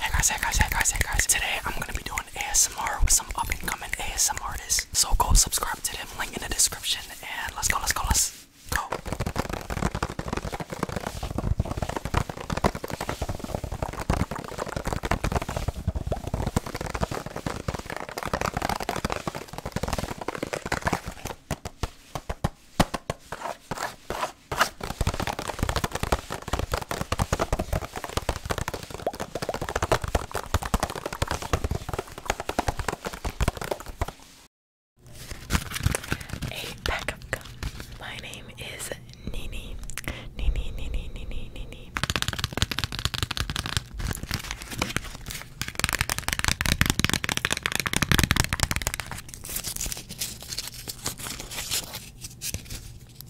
Hey guys, hey guys, hey guys, hey guys. Today I'm gonna be doing ASMR with some up and coming ASMR artists. So go subscribe to them, link in the description, and let's go, let's go, let's go. A pack My name is Nini. Nini, Nini, Nini, Nini.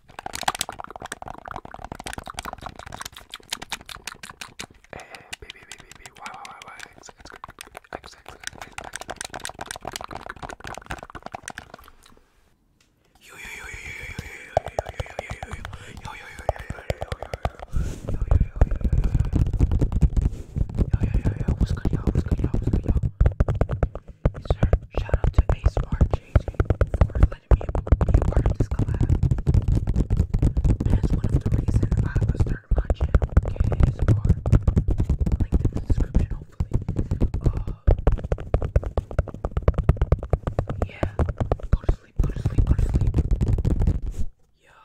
Hey, B, B, B, B, B, Y, Y, Y, Y, X, X, X, X, X, Yo, yo, yo, yo, yo, yo, yo, yo, Yo, yo, yo, yo, what's good, y'all? What's good, y'all? What's good, y'all? Sure, shout out to Ace War JJ for letting me be a part of this collab. That's one of the reasons I was my channel, okay? Is link in the description, hopefully. Uh, yeah, go to sleep, go to sleep, go to sleep. Yeah.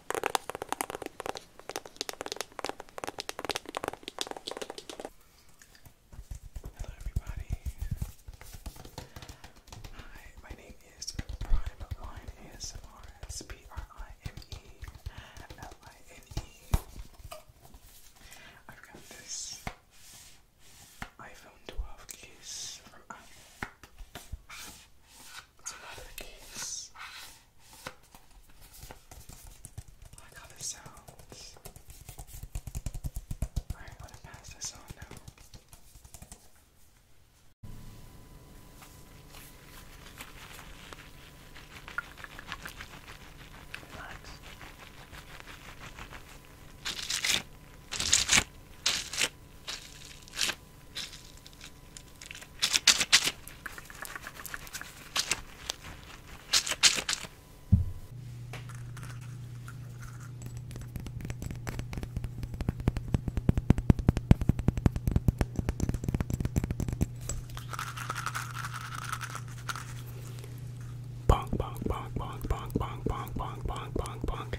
Hello, everybody. Hi, my name is Prime Line ASMR. It's L I N E. I've got this iPhone 12 case from Apple. That's another case. I how this sounds. Alright, I'm gonna pass this on now. Relax. Bonk, bonk, bonk, bonk, bonk, bonk, bonk, bonk, bonk, bonk.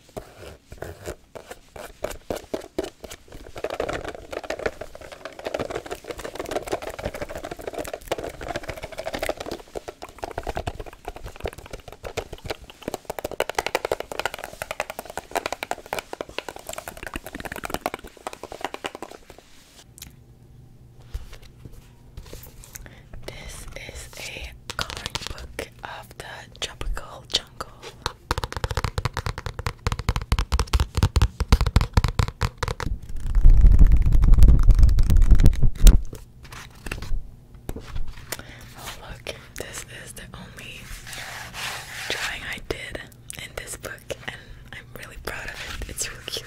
This is a coloring book of the tropical jungle. Oh, look, this is the only drawing I did in this book, and I'm really proud of it. It's really cute.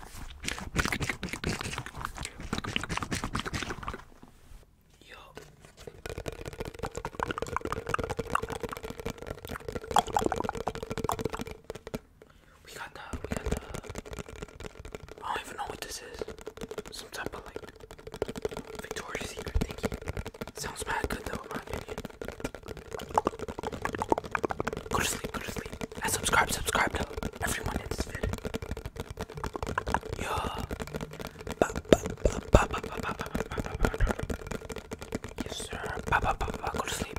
Yo. We got the, we got the, I don't even know what this is. Some type of like Victoria's Secret thingy. Sounds bad, good though in my opinion. Go to sleep, go to sleep. And subscribe, subscribe to everyone in this video. Yeah. Yes, sir. Go to sleep.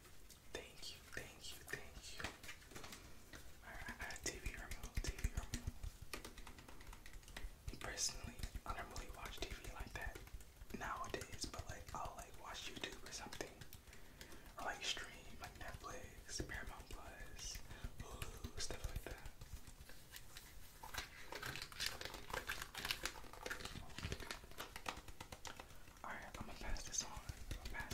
Thank you, thank you, thank you. Alright, TV remote, TV remote. Personally, I don't really watch TV like that nowadays, but like I'll like watch YouTube or something. Or like stream, like Netflix, Paramount Plus, Hulu, stuff like that. Alright, I'm gonna pass this on. to pass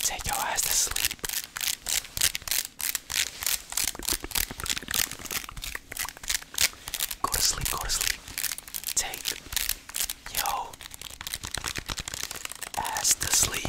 Take your ass to sleep. Go to sleep, go to sleep. Take yo ass to sleep.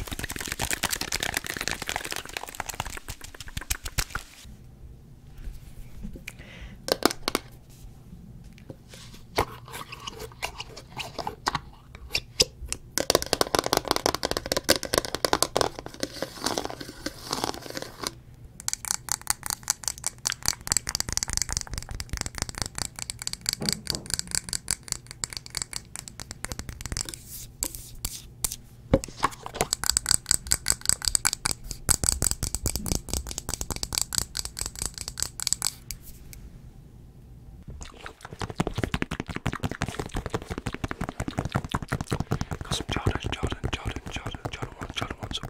Got some Jordan, Jordan, Jordan, Jordan, Jordan ones, Jordan ones.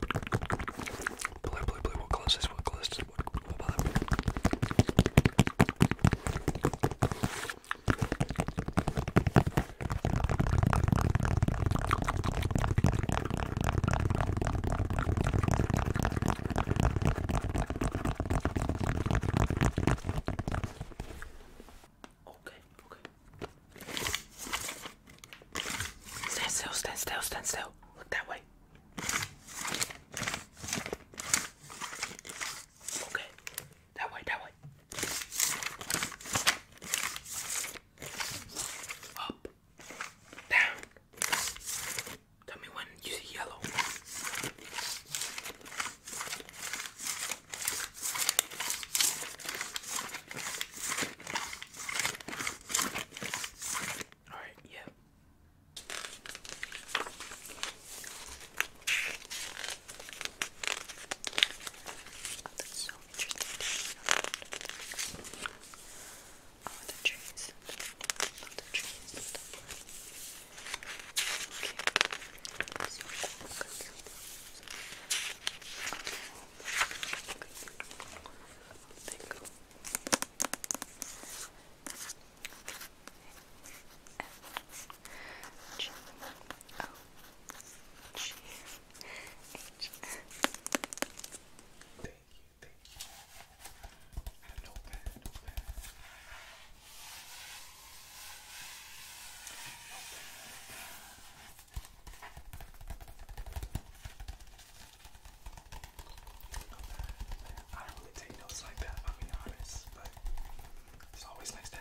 Blue, blue, blue. What colour is this? What colour is this? What, what about that? Okay, okay. Stand still, stand still, stand still. Look that way. Okay. That way, that way. Up, down. Tell me when you see yellow. All right, yeah. Oh, that's so interesting. Oh, the trees. Love the trees. Love the plants. Okay. So Okay. Thank you. G O G H. Thank you, thank you. I know that, I don't really take notes like that, I'll be honest, but it's always nice to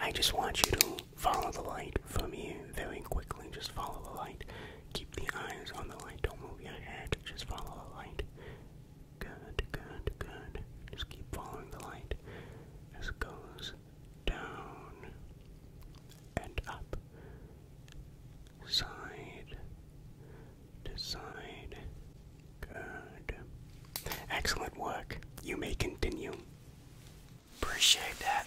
I just want you to follow the light from here very quickly. Just follow the light. Keep the eyes on the light. Don't move your head. Just follow the light. Good, good, good. Just keep following the light as it goes down and up, side Decide. Good. Excellent work. You may continue. Appreciate that.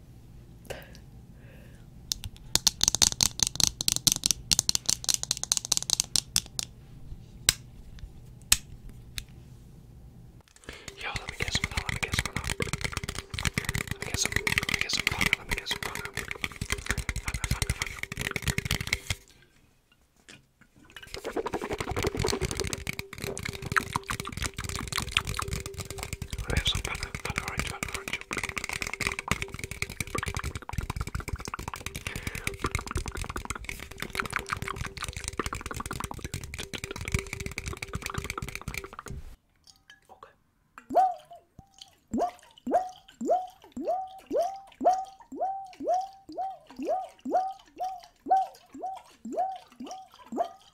Yo, let me get some now, let me get some now. Let me get some, let me get some fun, let me get some fun. I have some fun, fun orange, fun orange. Okay.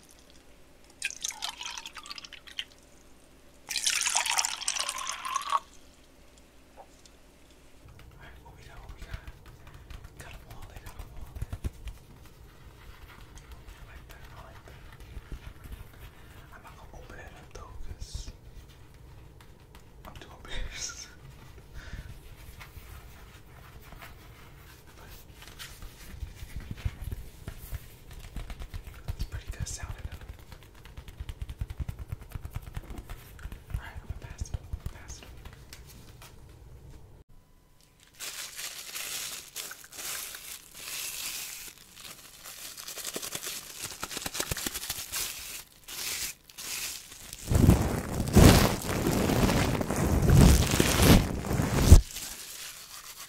Alright, what we got, what we got? Got a wallet, got a wallet. I like that, I like that. I'm not gonna open it up though, because I'm too embarrassed. That's pretty good sounding though. Alright, I'm gonna pass it. Pass it.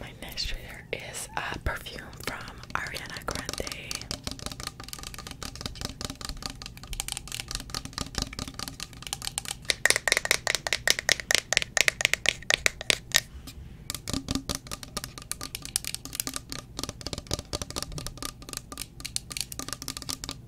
My next trigger is a perfume from Ariana Grande.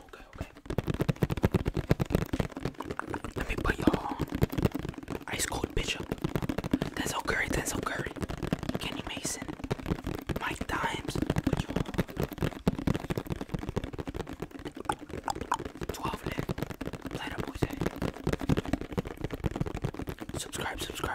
Okay, okay. Let me put y'all ice cold bitch up. Denzel Curry, Denzel Curry, Kenny Mason, Mike Dimes, put y'all. 12 live. Play the music. Subscribe, subscribe.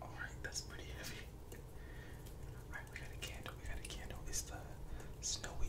All right, that's pretty heavy. All right, we got a candle. We got a candle. It's the snowy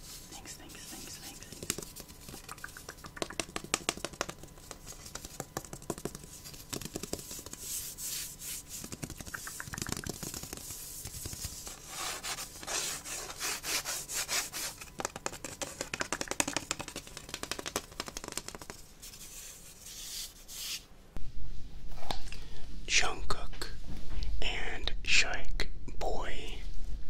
Thanks, thanks, thanks, thanks. Jungkook and Shike Boy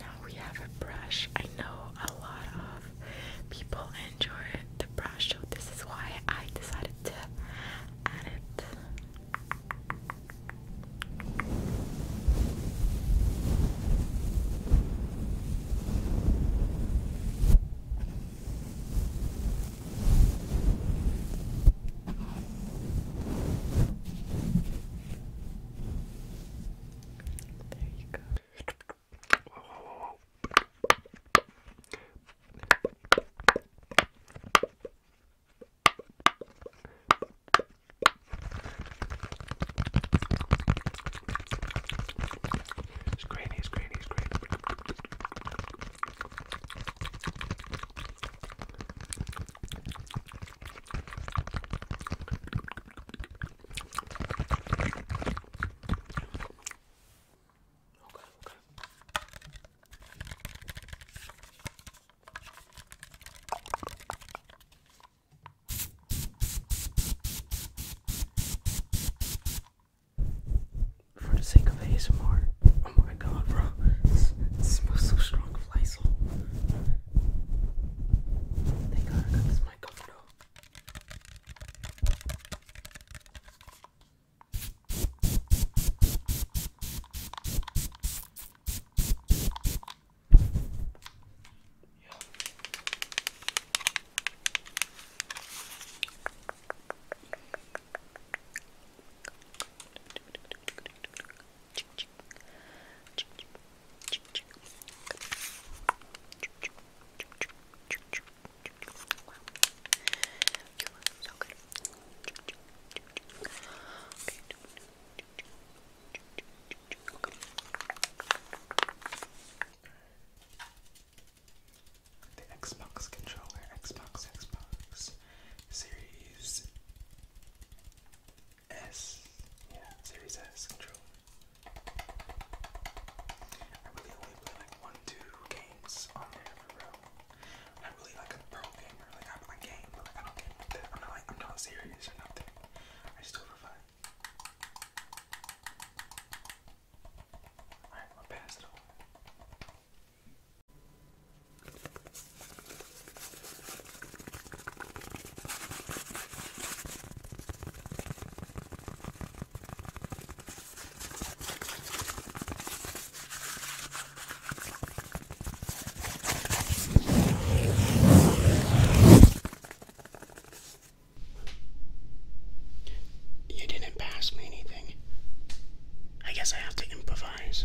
Now we have a brush. I know a lot of people enjoy the brush, so this is why I decided to add it there you go. Whoa, whoa, whoa, whoa. It's grainy, it's grainy, it's grainy. Okay, okay. For the sake of ASMR. Oh my god, bro. This, smells so strong of Lysol. Thank god I got this mic off you look so good the Xbox controller, Xbox, Xbox Series S, yeah, Series S controller. I really only play like one, two games on there in a row. I'm not really like a pro gamer. Like I'm like but like I don't game like that. I'm not like I'm not serious or nothing. I just for fun. Alright, I'm pass it on. You didn't pass me anything. I guess I have to improvise.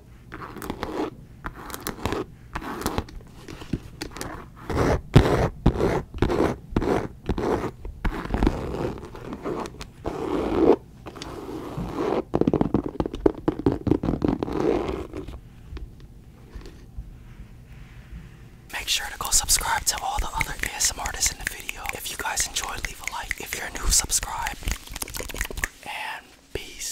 Make sure to go subscribe to all the other ASM artists in the video. If you guys enjoyed, leave a like. If you're new, subscribe. And peace.